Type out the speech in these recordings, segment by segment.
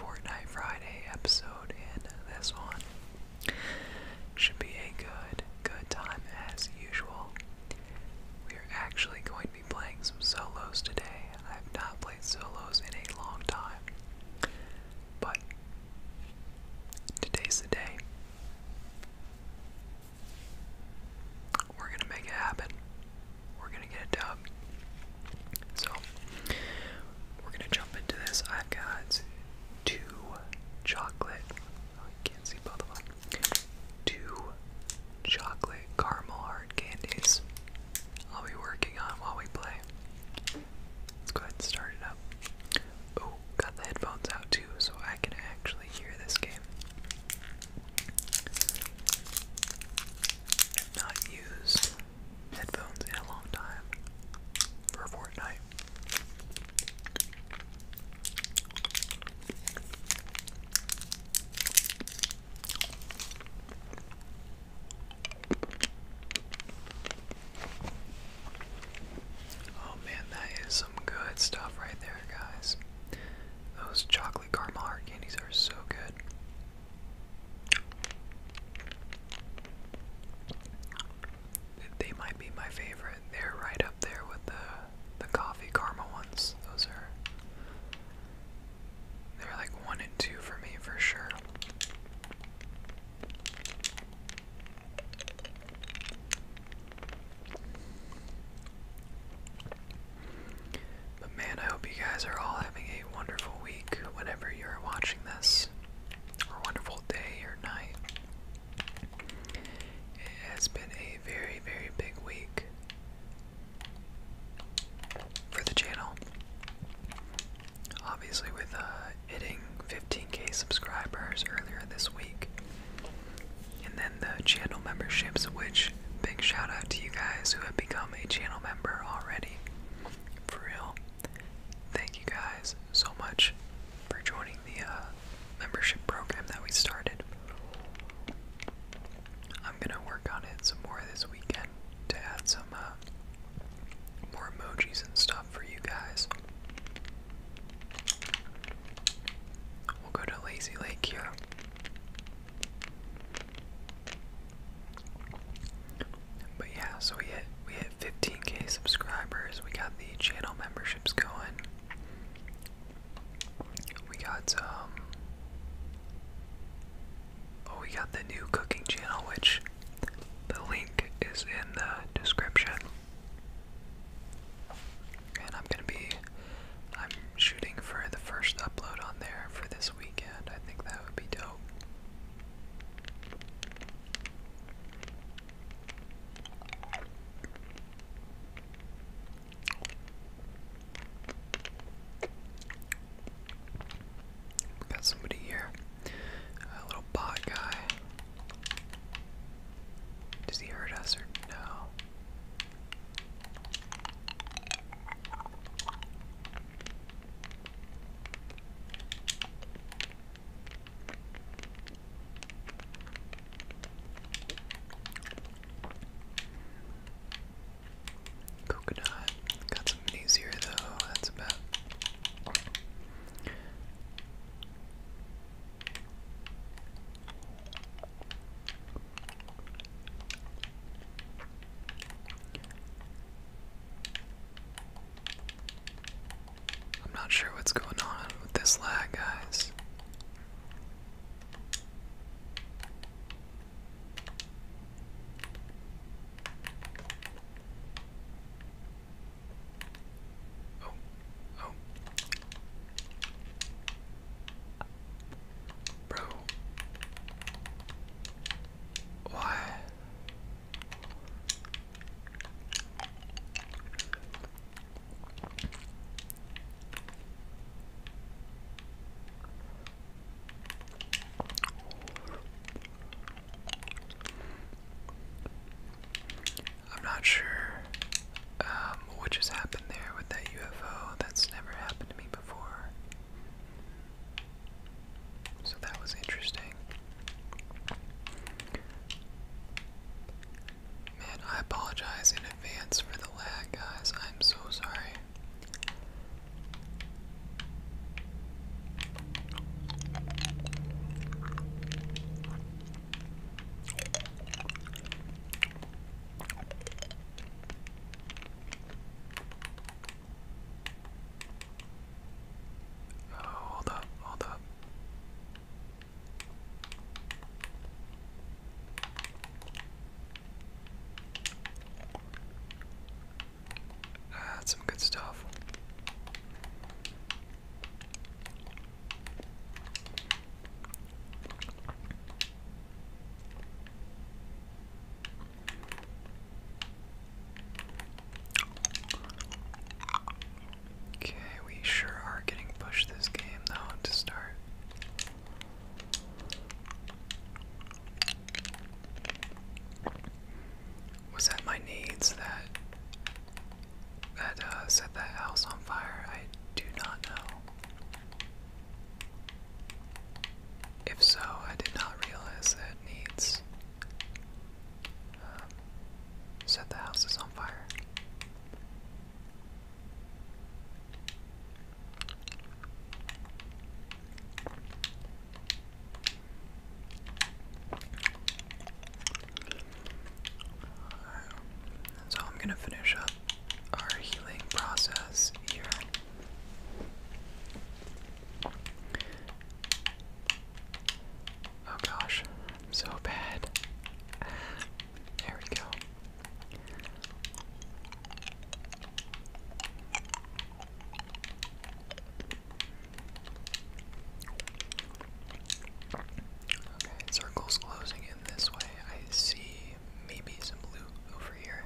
Fortnite Friday episode in this one. Should be a good, good time as usual. We are actually going to be playing some solos today. I have not played solos in a long time. But today's the day. We're gonna make it happen we're gonna get a dub. So we're gonna jump into this. I've got two chocolate. Oh, you can't see both of them. Two chocolate caramel hard candies. I'll be working on while we play. Let's go ahead and start it up. Oh, got the headphones out too, so I can actually hear this game. not used headphones in a long time for Fortnite. Oh man, that is some good stuff right there, guys. Those chocolate caramel heart candies are so good. They might be my favorite. They're right up there with the the coffee karma ones. Those are they're like one and two for me for sure. But man, I hope you guys are all having a wonderful week whenever you're watching this, or wonderful day or night. It has been a very, very big week for the channel. Obviously, with uh, hitting 15k subscribers earlier this week, and then the channel memberships, which big shout out to you guys who have become a channel member already. For real. Thank you guys so much for joining the uh, membership program that we started. I'm gonna work on it some more this weekend to add some uh, more emojis and stuff for you guys. We'll go to Lazy Lake here. But yeah, so we hit we hit 15k subscribers. We got the channel memberships going. We got um Oh, we got the new cooking channel which the link is in the description. And I'm going to be shooting for the first upload on there for this weekend. I think that would be dope. got somebody here. A little bot guy. Does he hurt us or no? Coconut. Got some minis here though, that's about I'm not sure what's going on with this lag, guys. Oh, oh. Bro. Why? I'm not sure um, what just happened there with that UFO. That's never happened to me before. So that was interesting. Man, I apologize in advance for the lag, guys. I'm so sorry. Oh, hold up, hold up. that's some good stuff. Okay, we sure are getting pushed this game though to start. Was that my needs that that uh, set that house on fire? I do not know. If so, I did not realize that needs. Um, set the houses on fire. So I'm gonna finish up our healing process here. Oh gosh, so bad. There we go. Okay, circle's closing in this way. I see maybe some blue over here.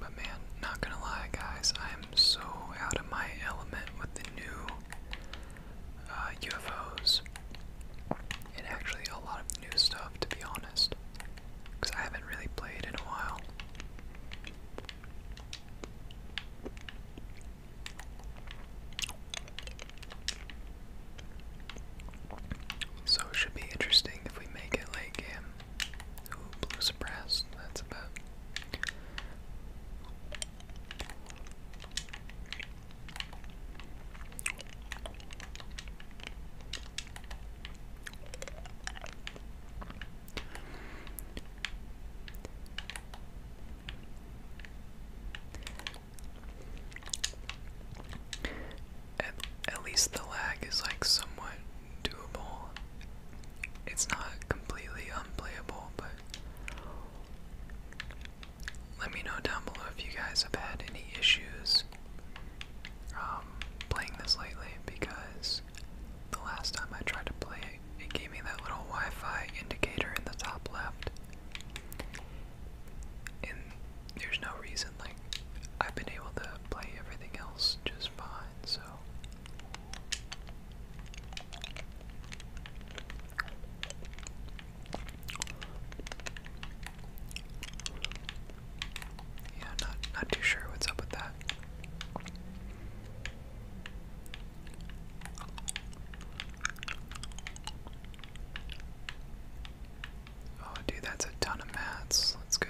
But man, not gonna lie, guys, I am so out of my element with the new UFOs uh, and actually a lot of new stuff, to be honest because I haven't really played in a while. So it should be interesting if we make it late game. Ooh, blue suppressed, that's about. At, least the lag is like somewhat doable. It's not completely unplayable, but let me know down below if you guys have had any issues um, playing this lately because the last time I tried to play it, it gave me that little Wi Fi indicator in the top left. And there's no reason, like, I've been able to play everything else just fine, so. Yeah, not not too sure what's up with that. Oh, dude, that's a ton of mats. Let's go.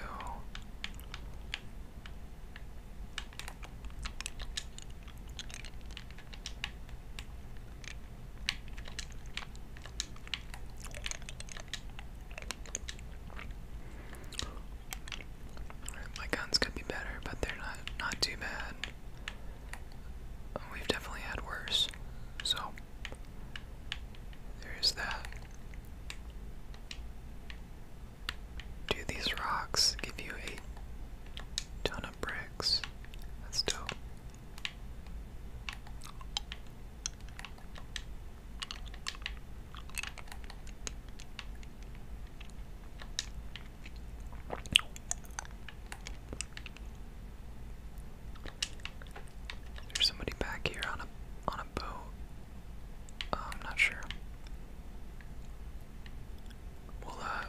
My guns could be better, but they're not not too bad. We've definitely had worse. So there's that. Do these rocks give you a ton of bricks? That's dope. There's somebody back here on a on a boat. Oh, I'm not sure. We'll uh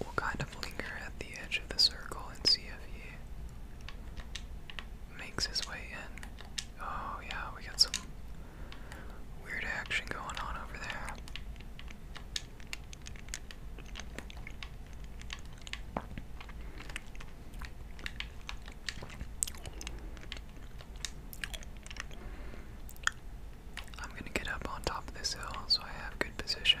we'll kind of linger at the edge of the circle and see if he makes his way in. Oh yeah, we got some weird action going on over there. I'm gonna get up on top of this hill so I have good position.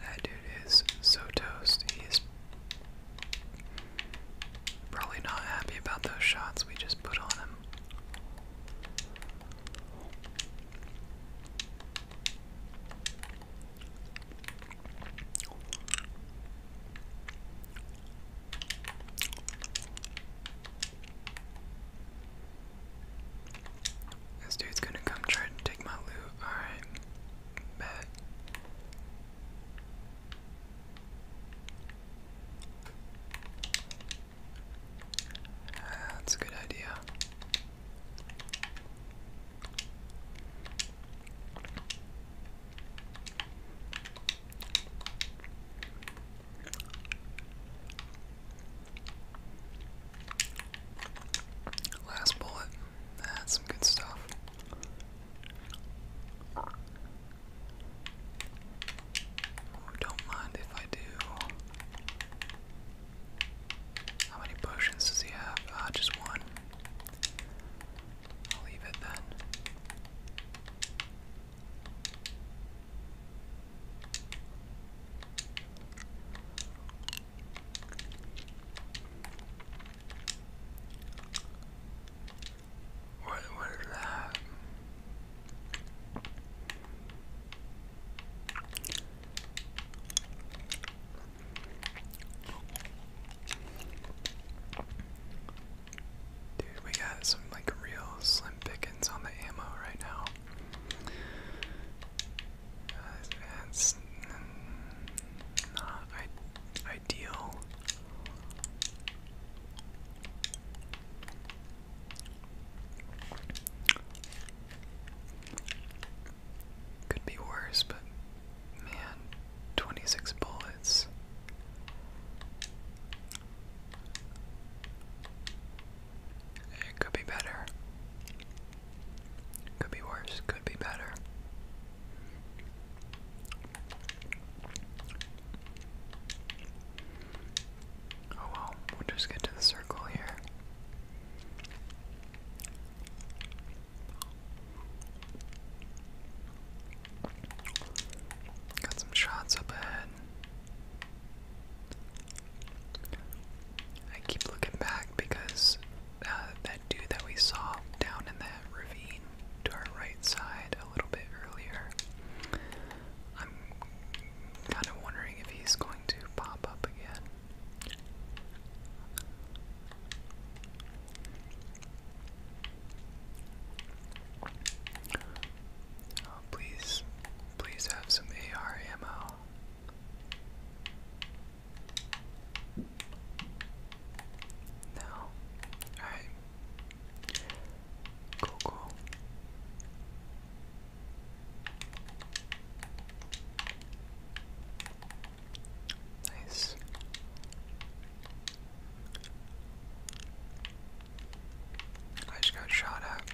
That dude is so toast. He probably not happy about those shots we just put on him. This dude's gonna come try to take my loot. Alright. Bet. Ah, that's a good idea. Last bullet. That's some good stuff. don't mind if I do. How many potions does he have? Ah, just one. I'll leave it then. What what is that? Dude, we got some like real slim pickings on the ammo right now. not ideal. Could be worse, but man, 26 bullets. It could be better. Could be worse. Could be better. Oh well, we'll just get to the circle here. Got some shots up ahead. I keep looking back because uh, that dude that we saw down in that ravine to our right side a little bit earlier, I'm kind of wondering if he's going to pop up again. Oh, please, please have some ARMO. No. Alright. Cool, cool. Nice. I just got shot at.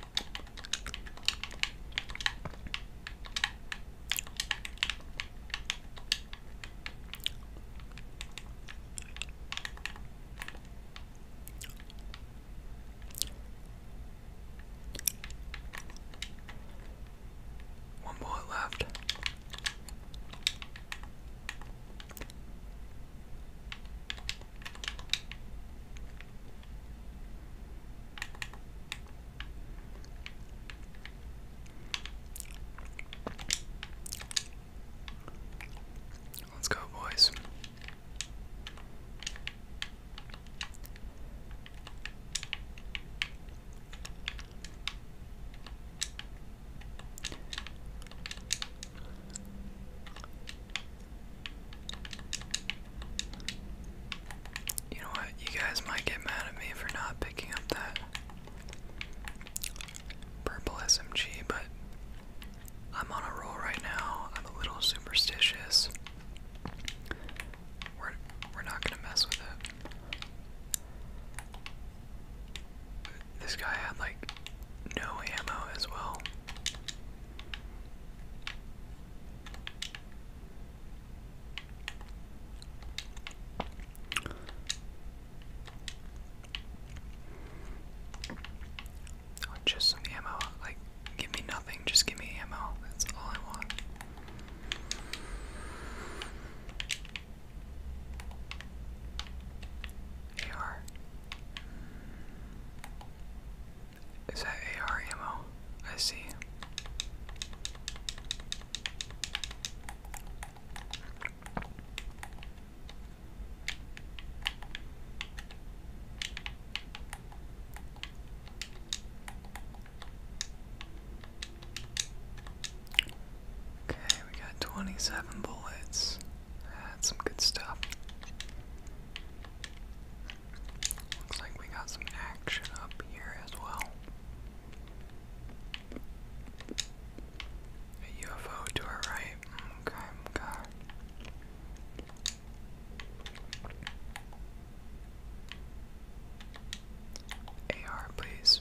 One bullet left. Let's go, boys. You know what? You guys might get mad at me for not picking up that purple SMG, but I'm on a roll right now. I'm a little superstitious. We're we're not gonna mess with it. This guy had like no ammo as well. Oh, just some ammo. Like, give me nothing, just give me ammo. That's all I want. AR. Is that AR I see. Okay, we got 27 bullets. That's some good stuff. Looks like we got some action up here as well. A UFO to our right. Okay, okay. AR, please.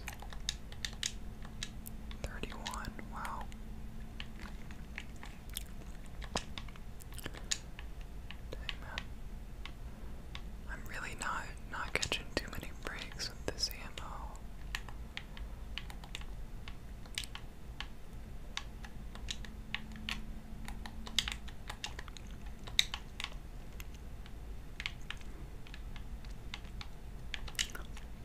Thirty-one. Wow. Dang I'm really not not catching too many breaks with this ammo.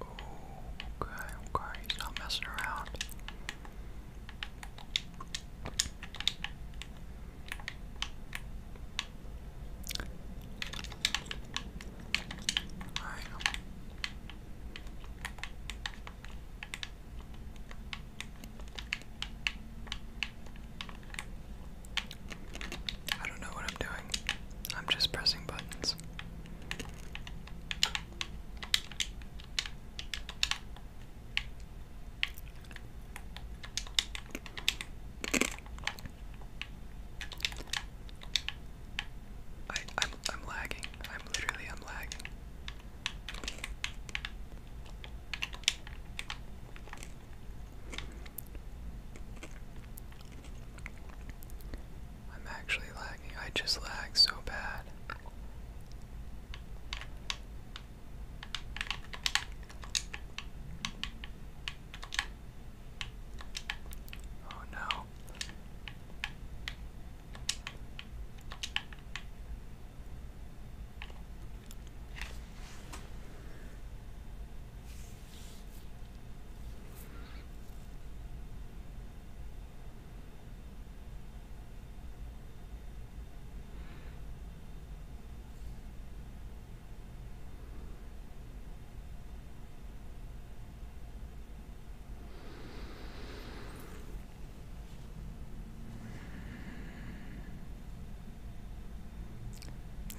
Okay, okay, he's not messing around. Alright. I don't know what I'm doing. I'm just pressing buttons. I, am I'm lagging. I'm literally, I'm lagging. I'm actually lagging. I just lag so bad. Oh no.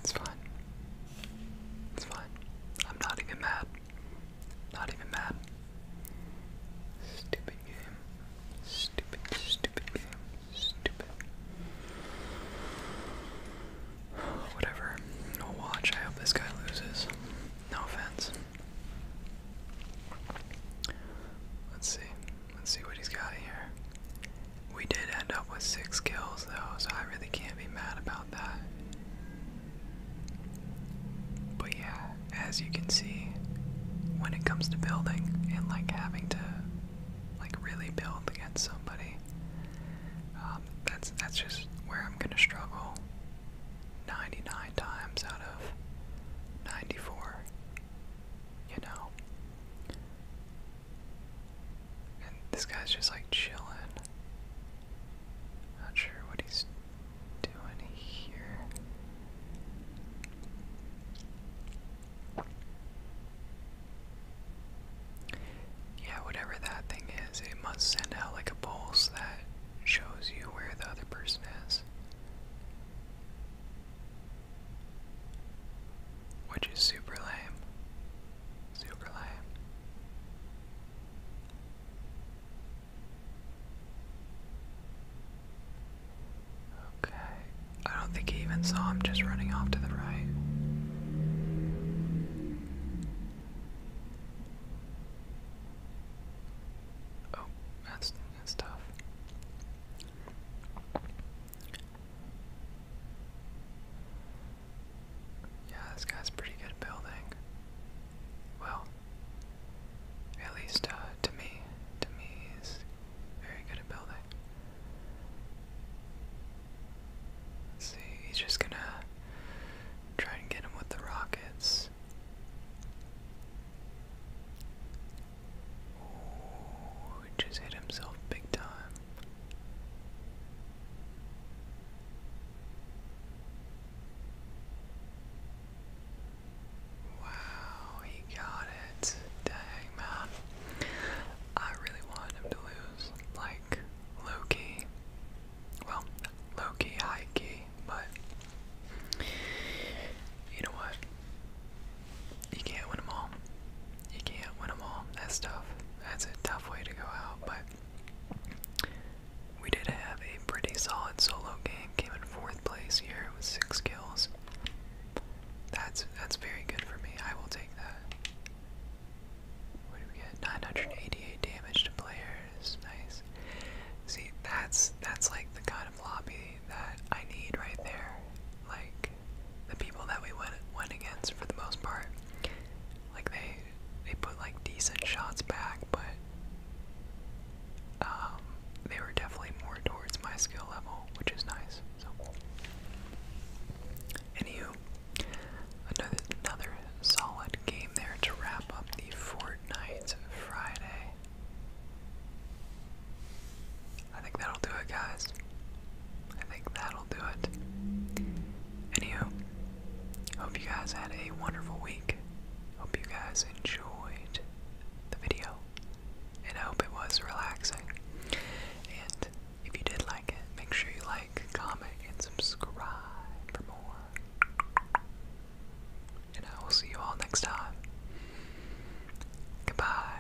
It's fine. It's fine. I'm not even mad. Not even mad. Stupid game. Stupid, stupid game. Stupid. Whatever. I'll watch. I hope this guy loses. No offense. Let's see. Let's see what he's got here. We did end up with six kills though, so I really can't be mad about that. But yeah, as you can see, when it comes to building and like having to like really build against somebody, um, that's that's just where I'm gonna struggle. 99 times out of 94, you know. And this guy's just like chilling. Not sure what he's doing here. Yeah, whatever that thing is, it must send out like a pulse that shows you where the other person is. Which is super lame. Super lame. Okay. I don't think he even saw him just running off to the right. Oh, that's that's tough. Yeah, this guy's pretty good building. Well, at least uh, to me, to me he's very good at building. see, he's just gonna try and get him with the rockets. He just hit himself big time. Wow, he got it. Dang, man. I really wanted him to lose. Like, low key. Well, low key, high key, but. You know what? you can't win all. You can't win all. That's tough. That's a tough way to go out, but we did have a pretty solid solo game. Came in fourth place here with six kills. That's that's very good for me. I will take that. What do we get? 988 damage to players. Nice. See, that's that's like the kind of lobby that I need right there. Like the people that we went went against for the most part. Like they they put like decent shots back, but um, they were definitely more towards my skill level, which is nice. So, anywho, another another solid game there to wrap up the Fortnite Friday. I think that'll do it, guys. I think that'll do it. Anywho, hope you guys had a wonderful week. Hope you guys enjoyed the video. And I hope it was relaxing. And if you did like it, make sure you like, comment, and subscribe for more. And I will see you all next time. Goodbye.